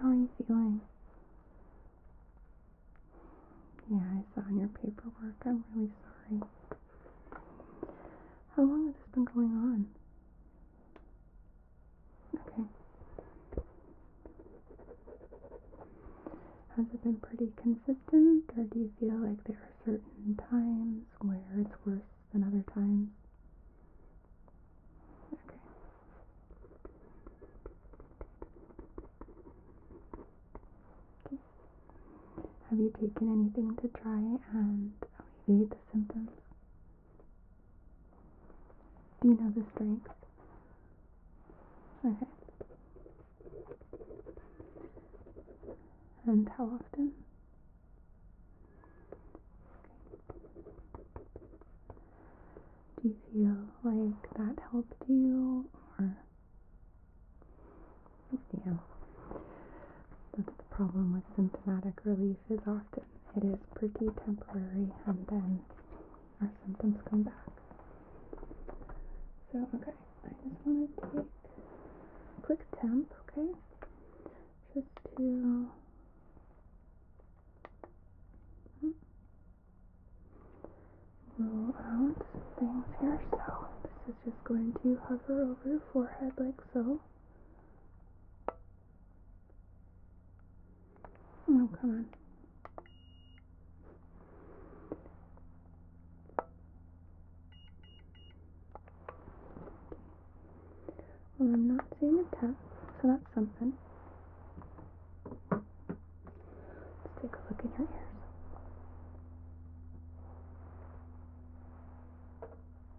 How are you feeling? Yeah, I saw in your paperwork. I'm really sorry. How long has this been going on? Okay. Has it been pretty consistent, or do you feel like there are certain times where it's worse than other times? Okay. Have you taken anything to try and alleviate the symptoms? Do you know the strength? Okay. And how often? Do you feel like that helped you or yeah. That's the problem with symptomatic relief is often it is pretty temporary and then our symptoms come back. So okay, I just want to take a quick temp, okay? Just to hmm, roll out some things here. So this is just going to hover over your forehead like so. Oh, come on. Well, I'm not seeing a tap, so that's something. Let's take a look in your ears.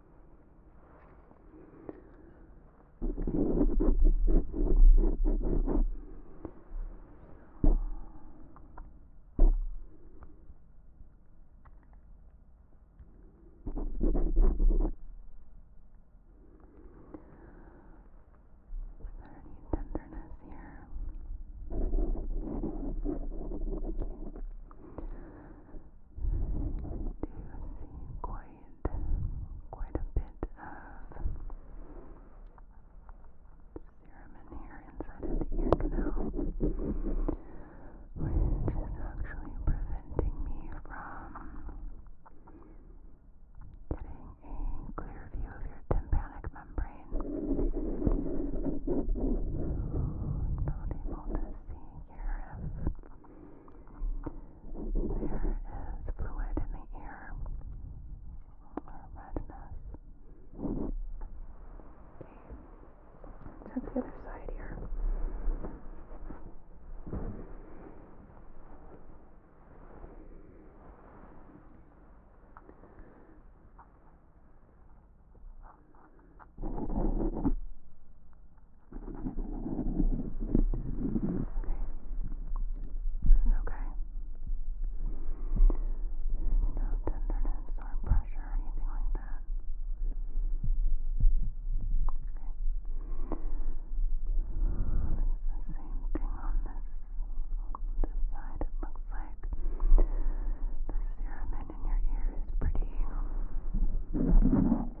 tenderness here. Okay see quite quite a bit of serum in here inside of the ear canal, which is actually preventing me from getting a clear view of your tympanic membrane. Not able to see here if there is fluid in the ear, or redness. Okay. Check the other side here. It's okay. There's no tenderness or pressure or anything like that. Okay. It's the same thing on this, this side. It looks like the serum in your ear is pretty.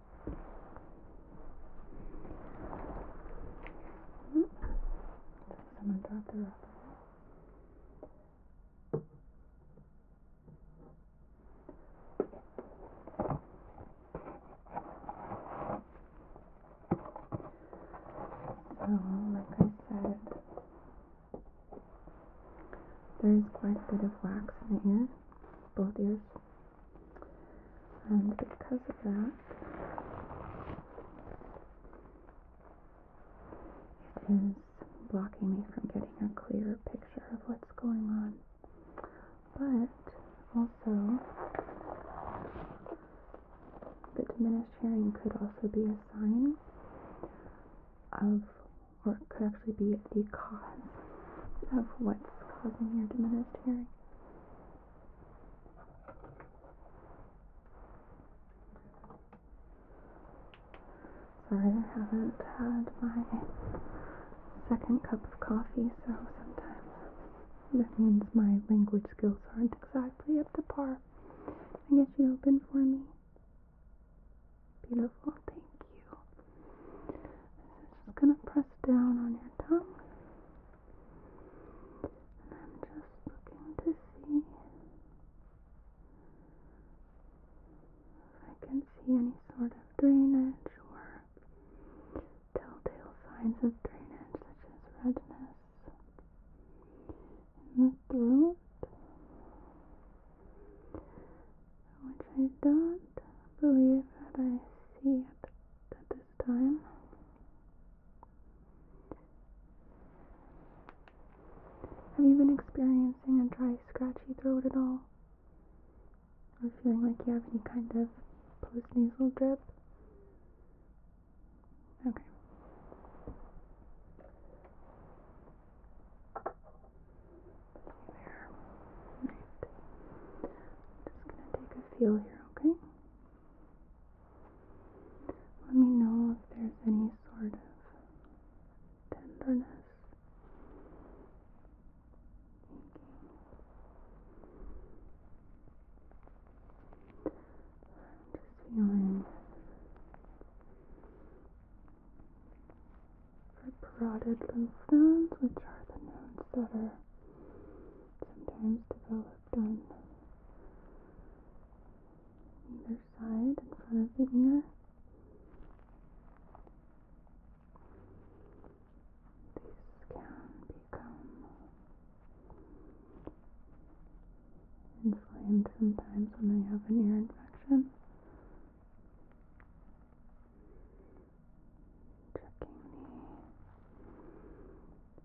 Oop. Someone dropped the rubber. So, like I said, there is quite a bit of wax in the ear, both ears and um, because of that, it is blocking me from getting a clear picture of what's going on. But also, the diminished hearing could also be a sign of, or could actually be the cause of what's causing your diminished hearing. Sorry, I haven't had my second cup of coffee, so sometimes that means my language skills aren't exactly up to par. I get you open for me. Beautiful, thank you. Just gonna press down on your tongue and I'm just looking to see if I can see any sort of drainage or telltale signs of drainage, such as redness in the throat, which I don't believe that I see at, time. Have you been experiencing a dry, scratchy throat at all? Or feeling like you have any kind of postnasal drip? Okay. just gonna take a feel here, okay? Let me know if there's any sort of tenderness. I'm just feeling for parotid lymph nodes, which are the nodes that are sometimes developed done either side in front of the ear. These can become inflamed sometimes when I have an ear infection. Checking the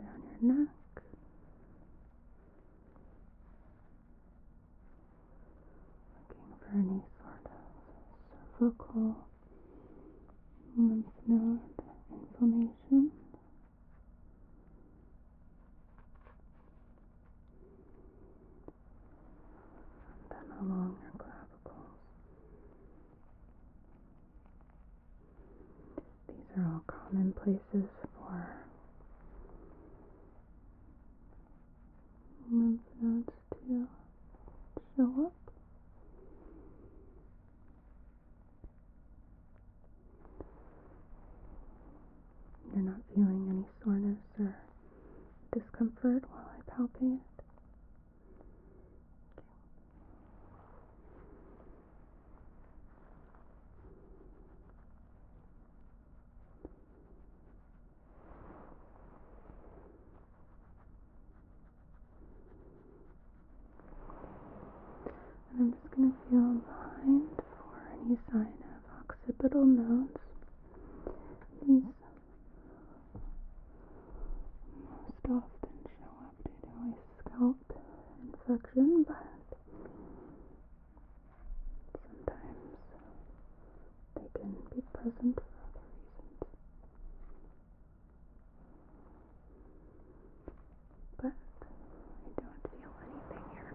down your neck. Looking for any sort of cervical lymph node inflammation then along your clavicles. These are all common places for lymph nodes to show up. You're not feeling any soreness or discomfort while I palpate it. And I'm just going to feel behind for any sign of occipital nodes. These most often show up due to a scalp infection, but sometimes they can be present for other reasons. But I don't feel anything here.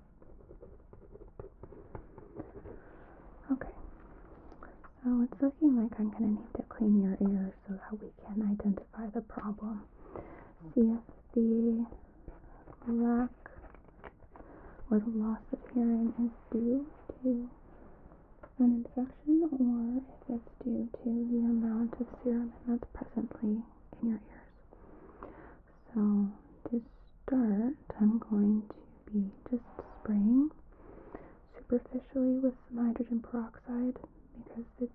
Okay, so it's looking like I'm going to need to clean your ears so that we can identify the problem. CFD, the lack or the loss of hearing is due to an infection or if it's due to the amount of serum that's presently in your ears. So, to start, I'm going to be just spraying superficially with some hydrogen peroxide because it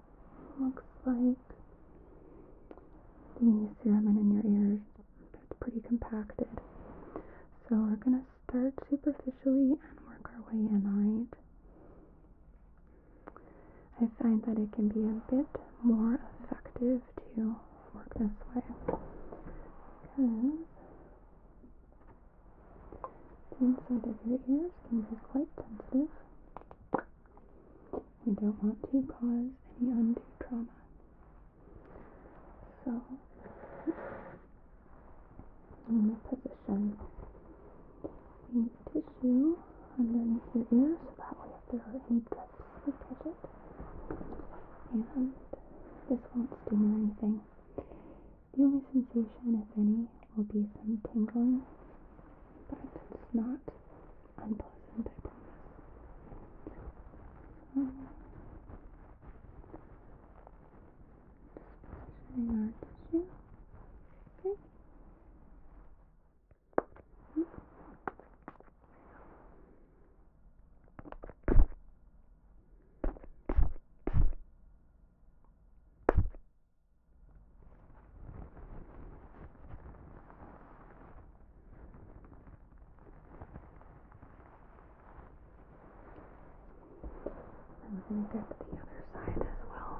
looks like the cerumen in your ears is pretty compacted. So we're going to start superficially and work our way in, alright? I find that it can be a bit more effective to fork this way because the inside of your ears can be quite sensitive. We don't want to cause any undue trauma. So, I'm going to put position the tissue underneath your ear so that way if there are any drips, we catch it. And this won't sting anything. The only sensation, if any, will be some tingling, but it's not unpleasant, I promise. just um, positioning our tissue. Okay. Hmm. I'm going to get the other side as well.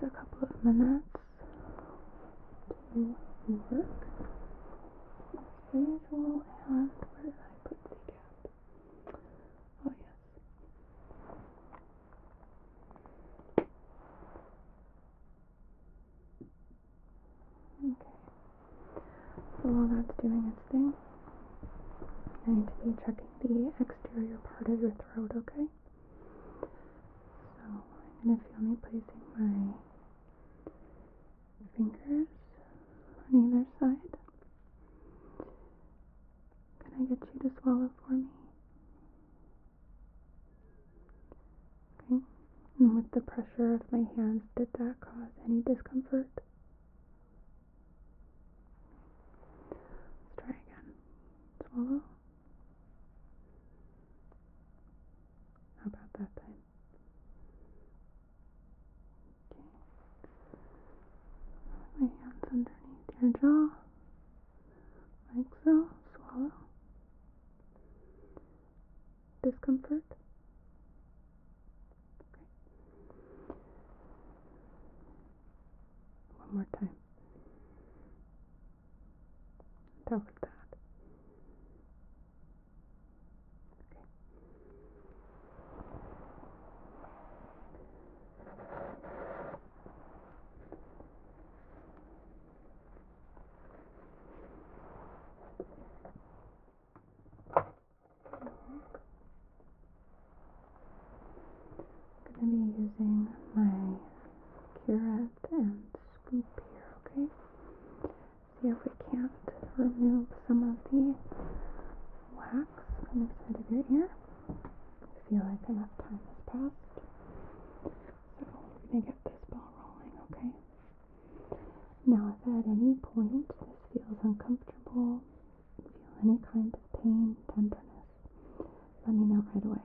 just a couple of minutes to work as usual. where did I put the cap? Oh, yes. Okay. So while that's doing its thing, I need to be checking the exterior part of your throat, okay? So I'm going to feel me placing my fingers on either side. Can I get you to swallow for me? Okay. And with the pressure of my hands, did that cause any discomfort? try again. Swallow. How about that then? Okay. my hands underneath your jaw, like so. Swallow. Discomfort. Okay. One more time. That was bad. Okay. I'm going to be using my curette and okay? See if we can't remove some of the wax on the side of your ear. I feel like enough time has passed. we're going to get this ball rolling, okay? Now, if at any point this feels uncomfortable, feel any kind of pain, tenderness, let me know right away.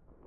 Besides that,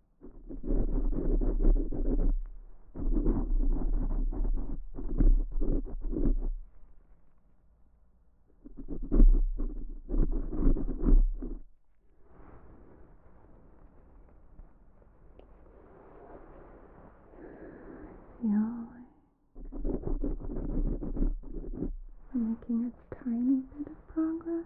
Feeling we're making a tiny bit of progress.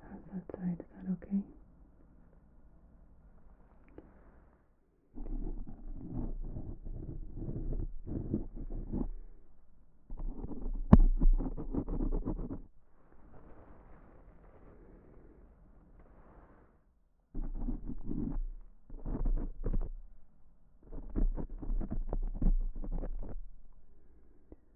How's that side? Is that okay?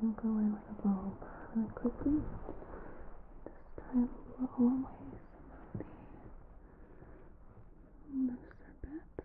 I'm going to go in with a bulb really quickly. This time we'll always some of the looser bits.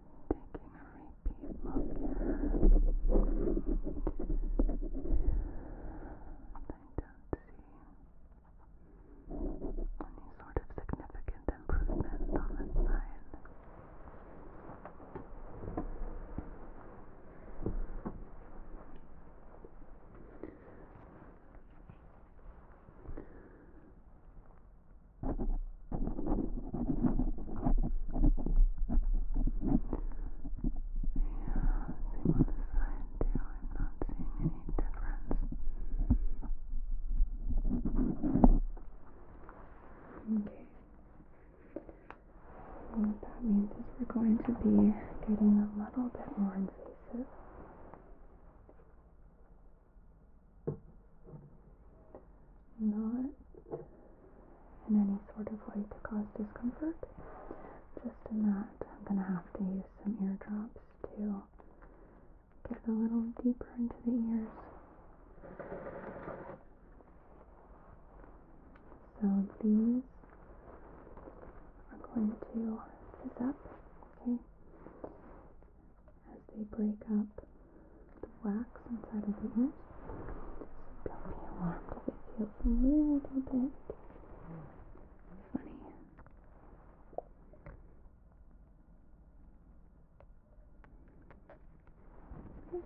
Taking a repeat look here. I don't see any sort of significant improvement on this side same on this side too. I'm not seeing any difference. Okay. What that means is we're going to be getting a little bit more invasive not in any sort of way to cause discomfort. Just in that, I'm going to have to use some eardrops to get a little deeper into the ears. So these are going to fizz up, okay, as they break up the wax inside of the ears. So don't be alarmed if it feels a little bit funny. Okay. So starting. Just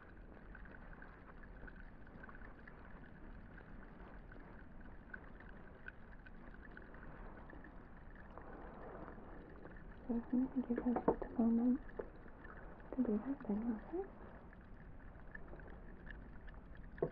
So if you can give us just a moment to do that thing, okay? Right.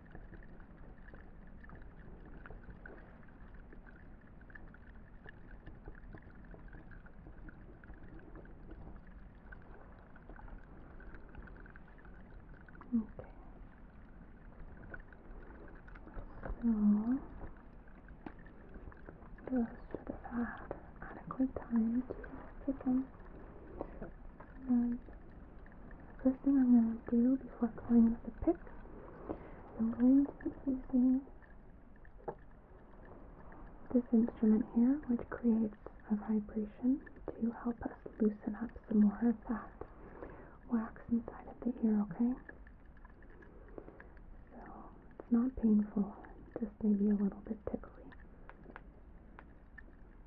Okay. So those should have had adequate time to thicken. And First thing I'm going to do before cleaning into the pick, I'm going to be using this instrument here, which creates a vibration to help us loosen up some more of that wax inside of the ear, okay? So it's not painful, just maybe a little bit tickly.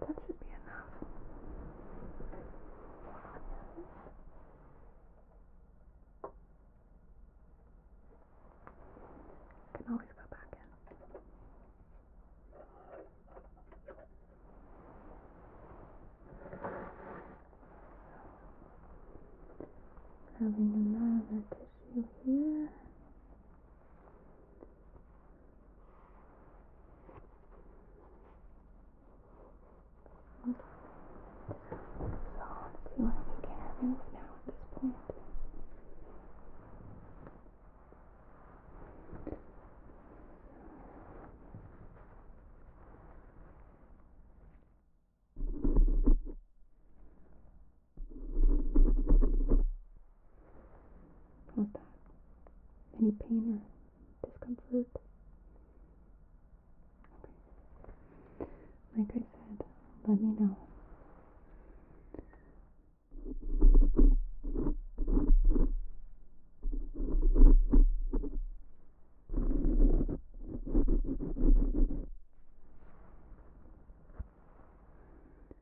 That should be enough. Can always go back in. Having another tissue here. Okay. So let's see what we can remove now at this point. Okay, How's that? Any pain or discomfort? Okay. Like I said, let me know.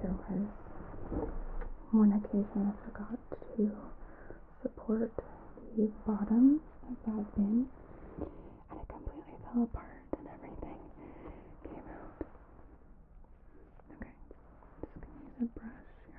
There was one occasion I forgot to support the bottom of that bin and it completely fell apart and everything came out. Okay, just gonna use a brush here.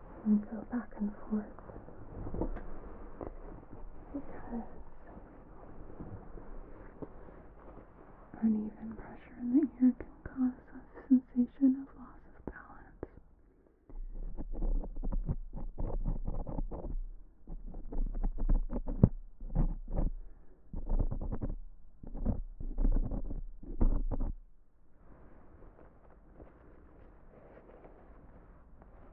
and go back and forth because uneven pressure in the ear can cause a sensation of loss of balance.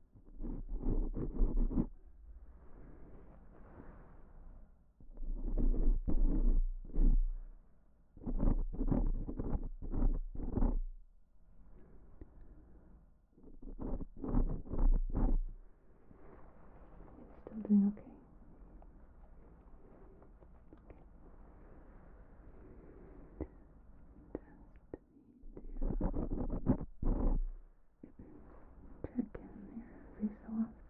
Still doing okay. okay. Just need to check in here every so often. Just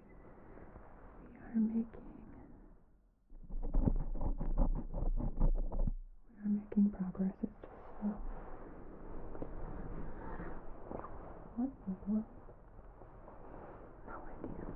we are making we are making progress. It's just so what in the world? No idea.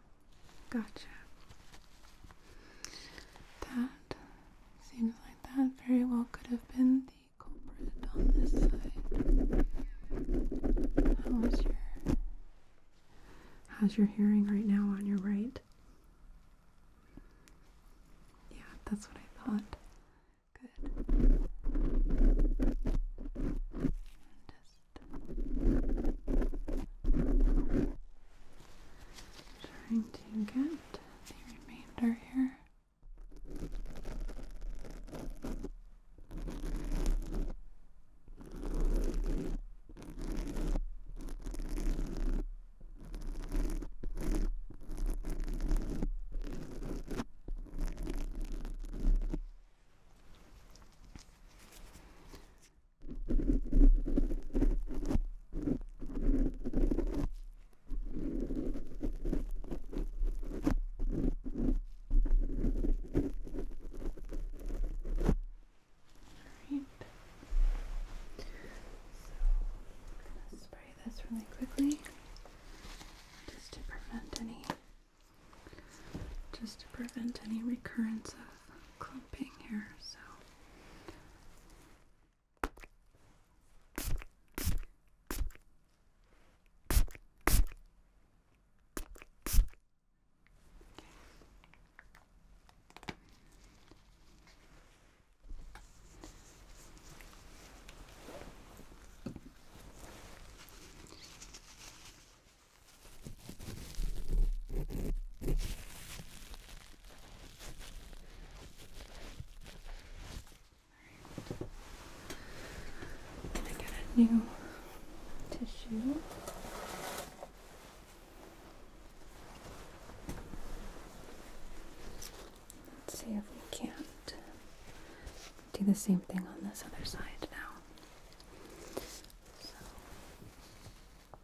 Gotcha. That seems like that very well could have been the culprit on this side. How's your how's your hearing right now on your right? Yeah, that's what I thought. Good. Trying to get the remainder here. Alright. So I'm going to spray this really quickly just to prevent any just to prevent any recurrence of clumping here, so I'm a new tissue. Let's see if we can't do the same thing on this other side now.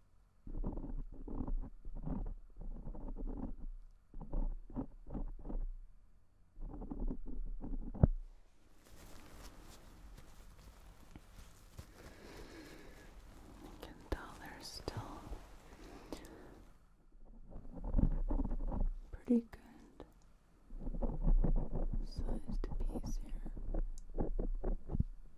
You can tell they're still pretty good sized piece here.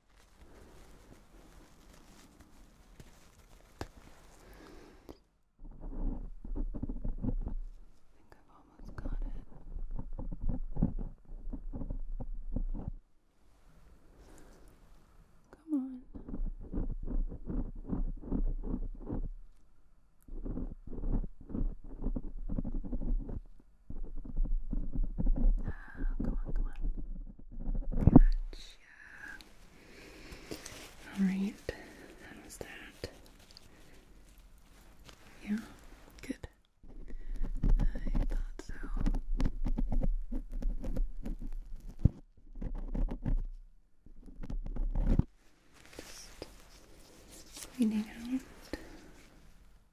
I think I've almost got it. Come on. Oh, on, go on. Gotcha. Alright, how was that? Yeah, good. I thought so. Just cleaning out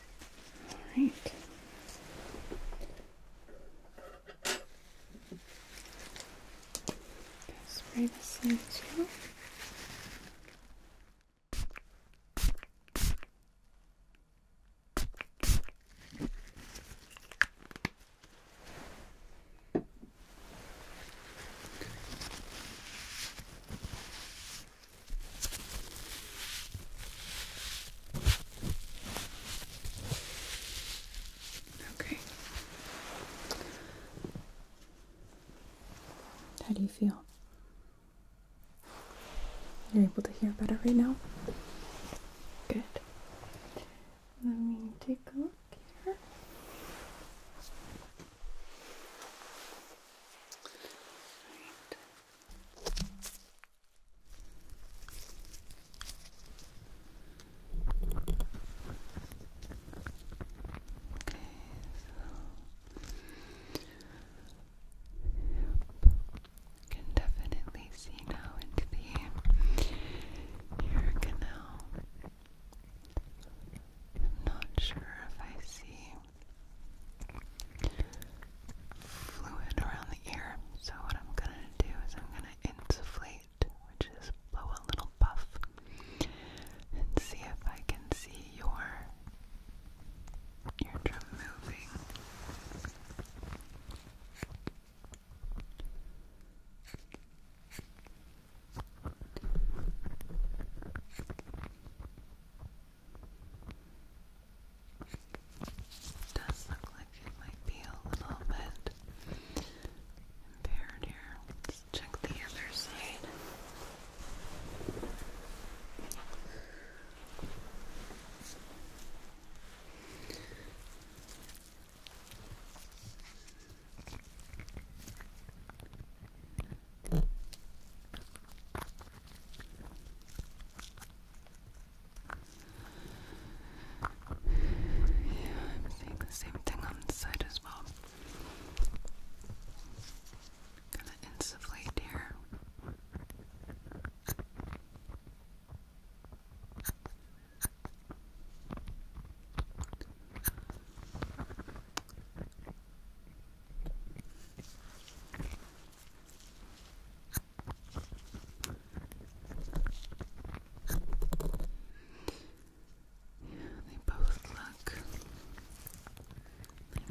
All right. Spray this in too. Okay. How do you feel? You're able to hear better right now? Good. Let me take a look here. Right you can definitely see now into the ear canal. I'm not sure if I see fluid around the ear. So what I'm gonna do is I'm gonna inflate, which is blow a little puff, and see if I can see your eardrum moving. It does look like it might be a little bit impaired here. Let's check the other side. Yeah, I'm seeing the same thing on the side as well. Gonna insufflate here. Yeah, they both look like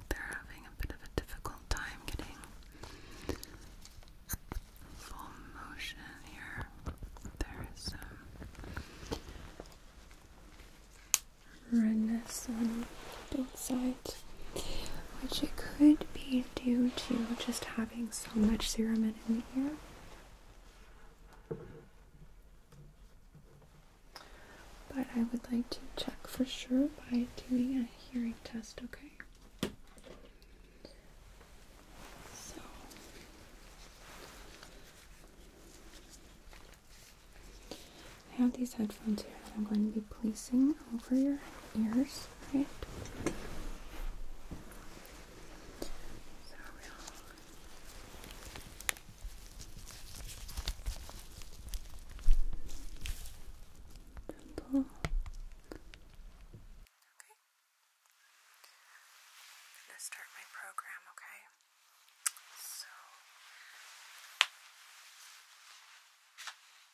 they're having a bit of a difficult time getting full motion here. There is some um, redness on both sides, which it could be due to just having so much serum in the ear. But I would like to check for sure by doing a hearing test, okay? So I have these headphones here that I'm going to be placing over your ears, right? Gentle. Okay.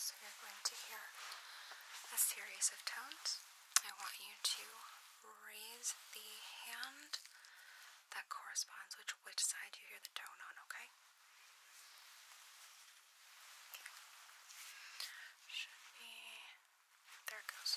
So you're going to hear a series of tones. I want you to raise the hand that corresponds with which side you hear the tone on, okay? Should be there it goes.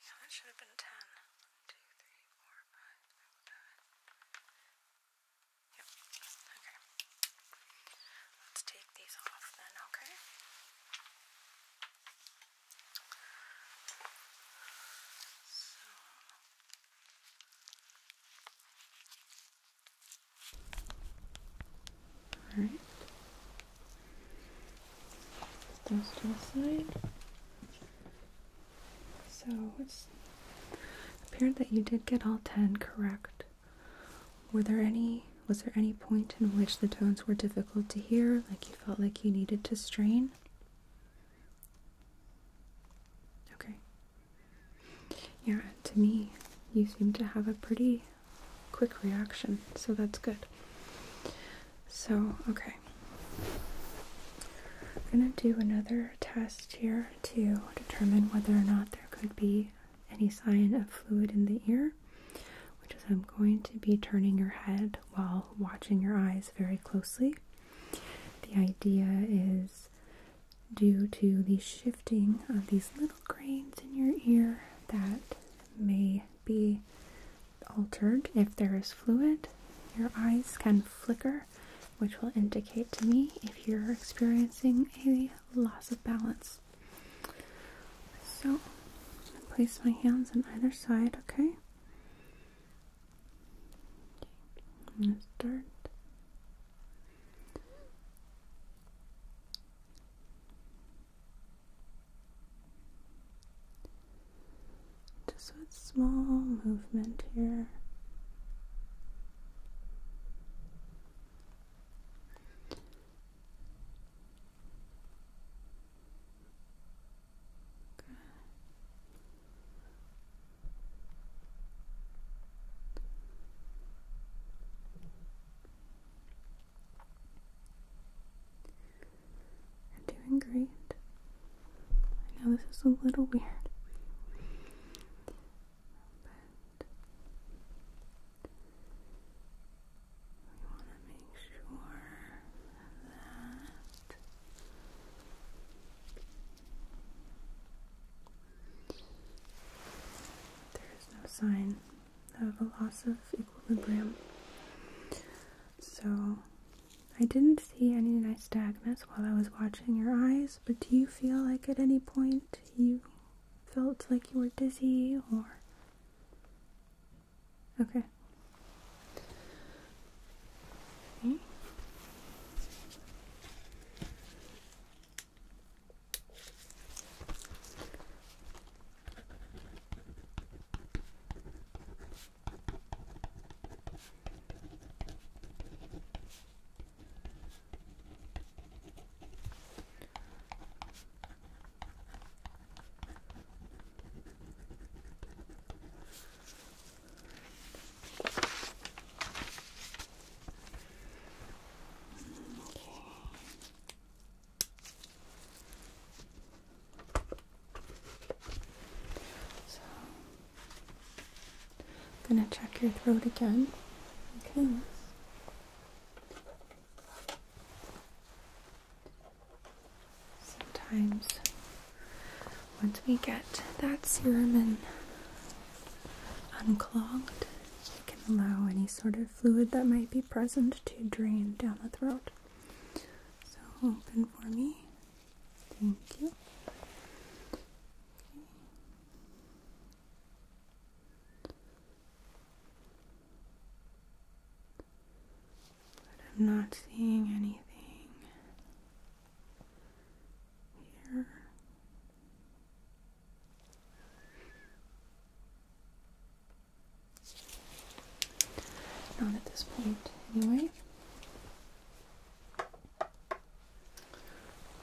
Yeah, that should have been ten. One, two, three, four, five, six, seven, Yep. Okay. Let's take these off then, okay? Alright. Those to the side. So it's appeared that you did get all ten correct. Were there any was there any point in which the tones were difficult to hear, like you felt like you needed to strain? Okay. Yeah, to me, you seem to have a pretty quick reaction, so that's good. So, okay. I'm going to do another test here to determine whether or not there could be any sign of fluid in the ear, which is I'm going to be turning your head while watching your eyes very closely. The idea is due to the shifting of these little grains in your ear that may be altered if there is fluid. Your eyes can flicker, which will indicate to me if you're experiencing a loss of balance. So, I place my hands on either side, okay? And okay. start. Just with small movement here doing great. I know this is a little weird. We want to make sure that there is no sign of a loss of equilibrium. So, I didn't see any nystagmus while I was watching your eyes, but do you feel like at any point you felt like you were dizzy or. Okay. okay. So I'm gonna check your throat again. Okay. Sometimes, once we get that serum unclogged, we can allow any sort of fluid that might be present to drain down the throat. So, open for me. Thank you. I'm not seeing anything here. Not at this point, anyway.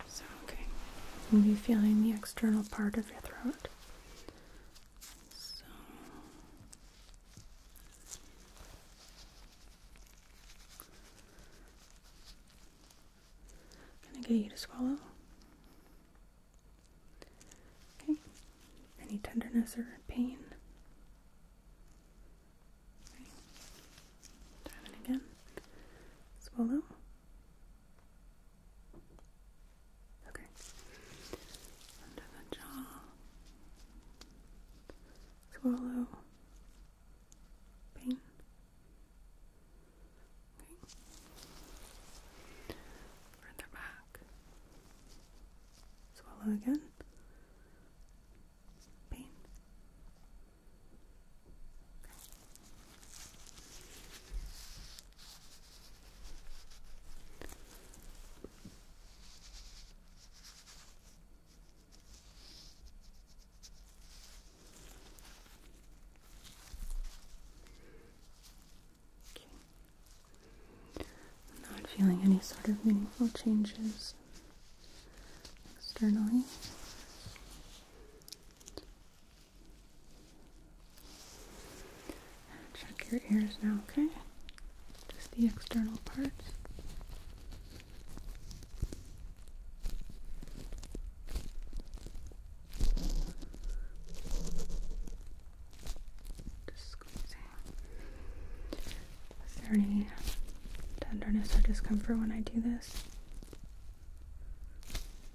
So, okay, you'll be feeling the external part of your throat. So, gonna get you to swallow. Okay, any tenderness or pain? Try it again. Swallow. Okay. Under the jaw. Swallow. Pain. Okay. Further back. Swallow again. Pain. Okay. I'm not feeling any sort of meaningful changes externally. Check your ears now, okay? Just the external parts. Just squeezing. Is there any tenderness or discomfort when I do this?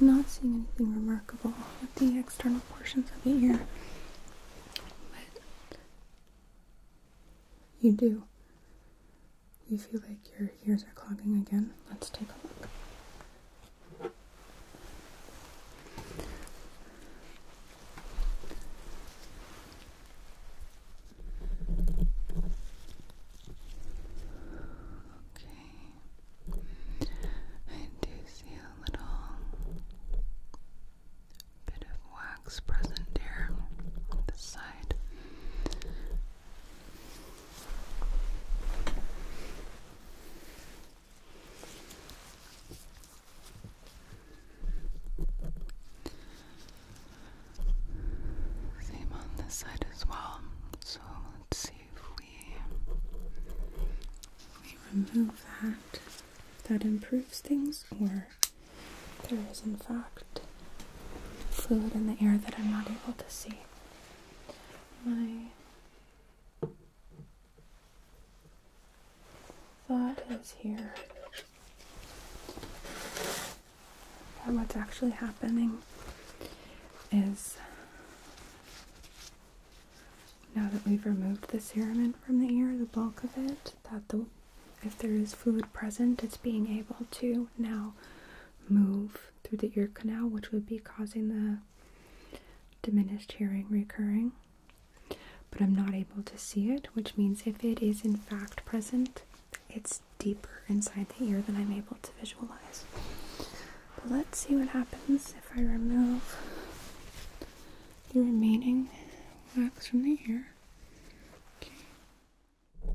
I'm not seeing anything remarkable with the external portions of the ear, but you do you feel like your ears are clogging again, let's take a look. Okay, I do see a little bit of wax present here on the side. Same on this side as well. So let's see if we we remove that. That improves things, or there is in fact fluid in the air that I'm not able to see my thought is here and what's actually happening is now that we've removed the cerumen from the ear, the bulk of it, that the if there is fluid present, it's being able to now move through the ear canal, which would be causing the diminished hearing recurring. But I'm not able to see it, which means if it is in fact present, it's deeper inside the ear than I'm able to visualize. But let's see what happens if I remove the remaining wax from the ear. Okay.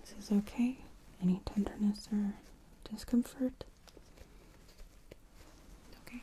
This is okay. Any tenderness or discomfort? Okay.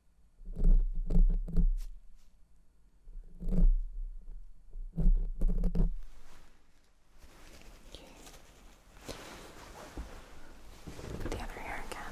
Put the other ear again.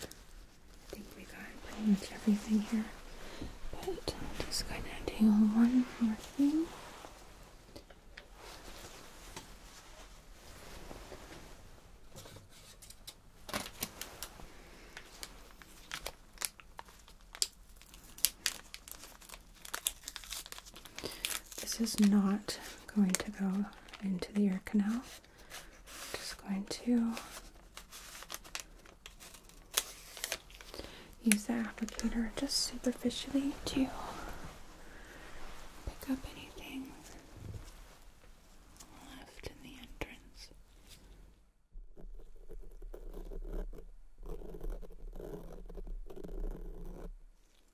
I think we got pretty much everything here, but I'm just going to do one more thing. This is not going to go into the ear canal. Just going to use the applicator just superficially to pick up anything left in the entrance.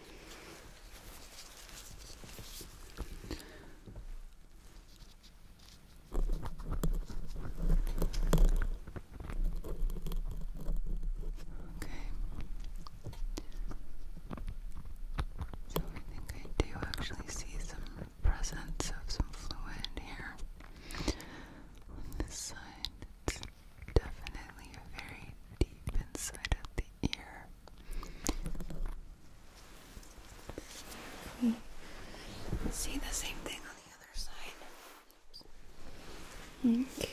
Okay. So I think I do actually see some presence of some fluid here on this side. It's definitely very deep inside of the ear. We see the same thing on the other side. Okay.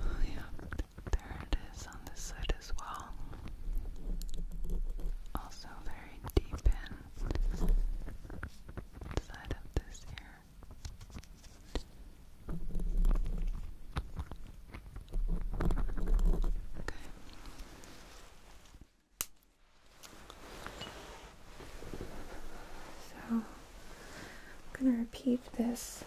Oh, yeah, there it is on this side as well. Also very deep in inside of this ear. Okay. So I'm going to repeat this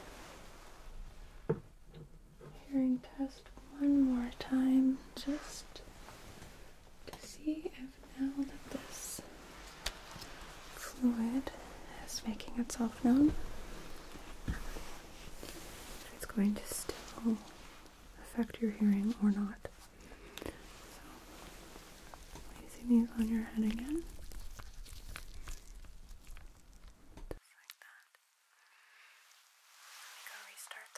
hearing test one more time just to see if now that this fluid is making itself known. if It's going to still affect your hearing or not. placing these on your head again. Just like that.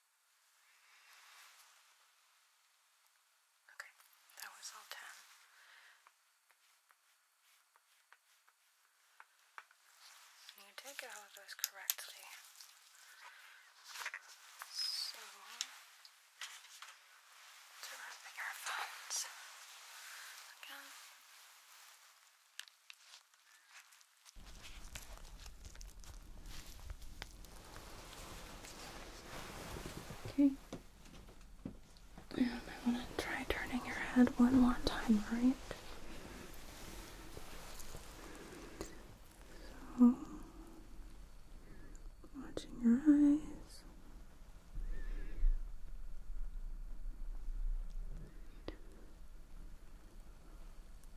Okay, that was all ten. You did get all of those correctly. So, to wrapping our phones again. Okay. And I want to try turning your head one more time, right? watching your eyes.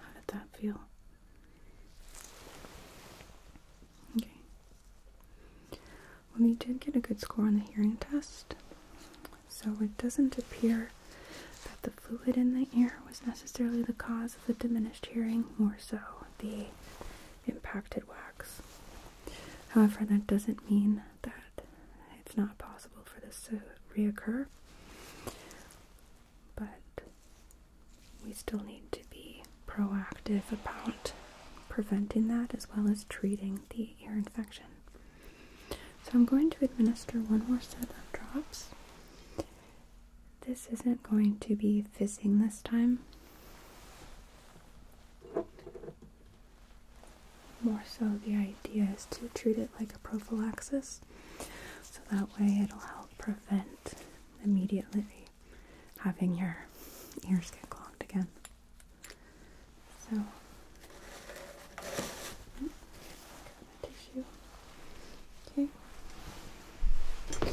How did that feel? Okay. Well, you did get a good score on the hearing test so it doesn't appear that the fluid in the ear was necessarily the cause of the diminished hearing, more so the impacted wax. However, that doesn't mean that it's not possible for this to reoccur, but we still need to be proactive about preventing that as well as treating the ear infection. So I'm going to administer one more set of drops. This isn't going to be fizzing this time. More so, the idea is to treat it like a prophylaxis so that way it'll help prevent immediately having your ears get clogged again. So, tissue. Mm. Okay. Okay.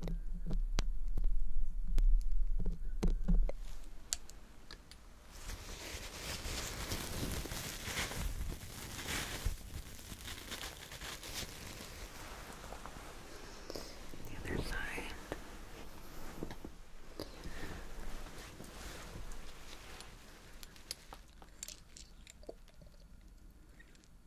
The other side. Okay.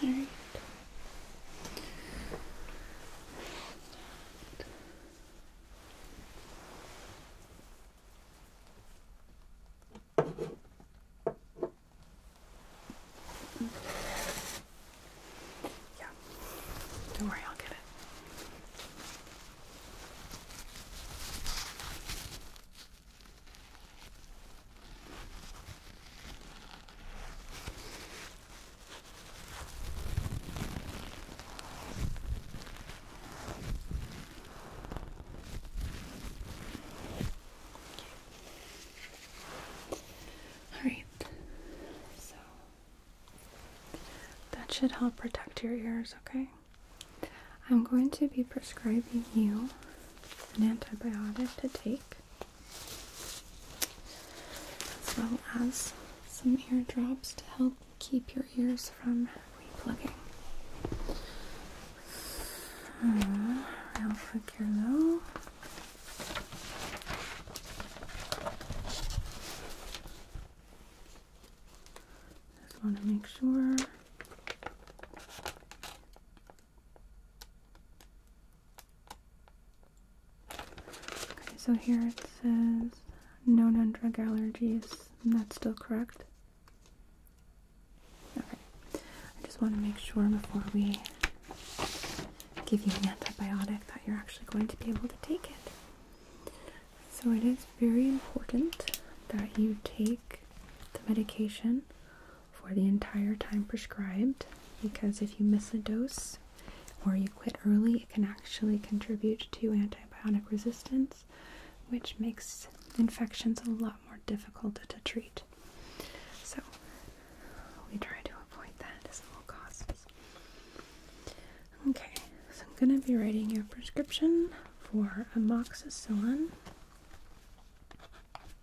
All right. Yeah. Don't worry, I'll get it. All right, so that should help protect your ears, okay? I'm going to be prescribing you an antibiotic to take as well as some ear drops to help keep your ears from replugging. Um, real quick here though. Just want to make sure Okay, so here it says known on drug allergies, and that's still correct. Okay, I just want to make sure before we give you an antibiotic that you're actually going to be able to take it. So it is very important that you take the medication for the entire time prescribed because if you miss a dose or you quit early, it can actually contribute to antibiotic resistance, which makes infections a lot more difficult to treat. So, we try to avoid that as all costs. Okay, so I'm going to be writing a prescription for amoxicillin.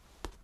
D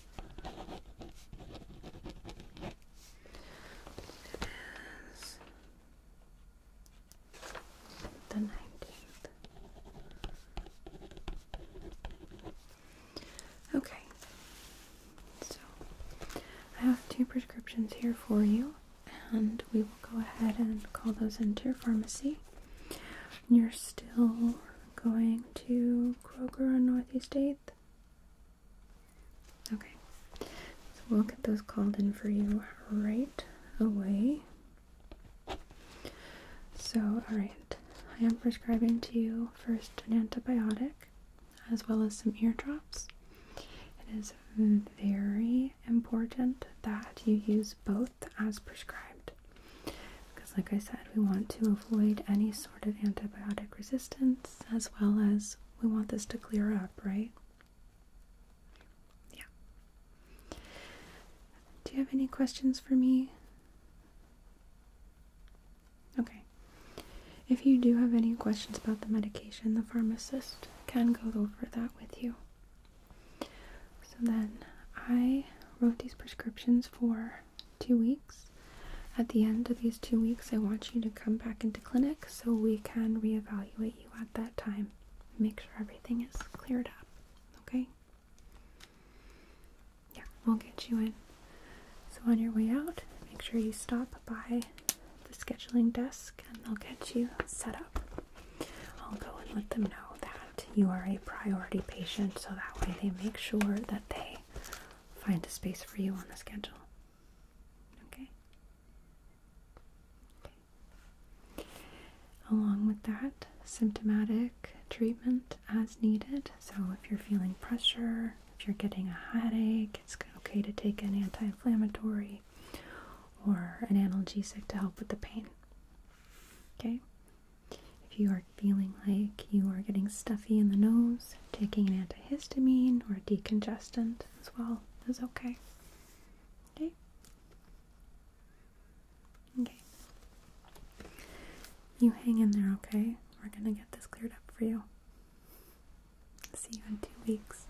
It is the nineteenth. Okay, so I have two prescriptions here for you, and we will go ahead and call those into your pharmacy. You're still going to Kroger on Northeast 8th. Okay, so we'll get those called in for you right away. So, alright, I am prescribing to you first an antibiotic as well as some ear drops. It is very important that you use both as prescribed. Because, like I said, we want to avoid any sort of antibiotic resistance as well as we want this to clear up, right? Yeah. Do you have any questions for me? Okay. If you do have any questions about the medication, the pharmacist can go over that with you. So then I wrote these prescriptions for two weeks. At the end of these two weeks, I want you to come back into clinic so we can reevaluate you at that time. Make sure everything is cleared up, okay? Yeah, we'll get you in. So on your way out, make sure you stop by the scheduling desk and they'll get you set up. I'll go and let them know that you are a priority patient so that way they make sure that they find a space for you on the schedule. Okay? Along with that, symptomatic treatment as needed. So if you're feeling pressure, if you're getting a headache, it's okay to take an anti inflammatory or an analgesic to help with the pain. Okay? If you are feeling like you are getting stuffy in the nose, taking an antihistamine or a decongestant as well is okay. Okay. Okay. You hang in there, okay? We're gonna get this cleared up for you. See you in two weeks.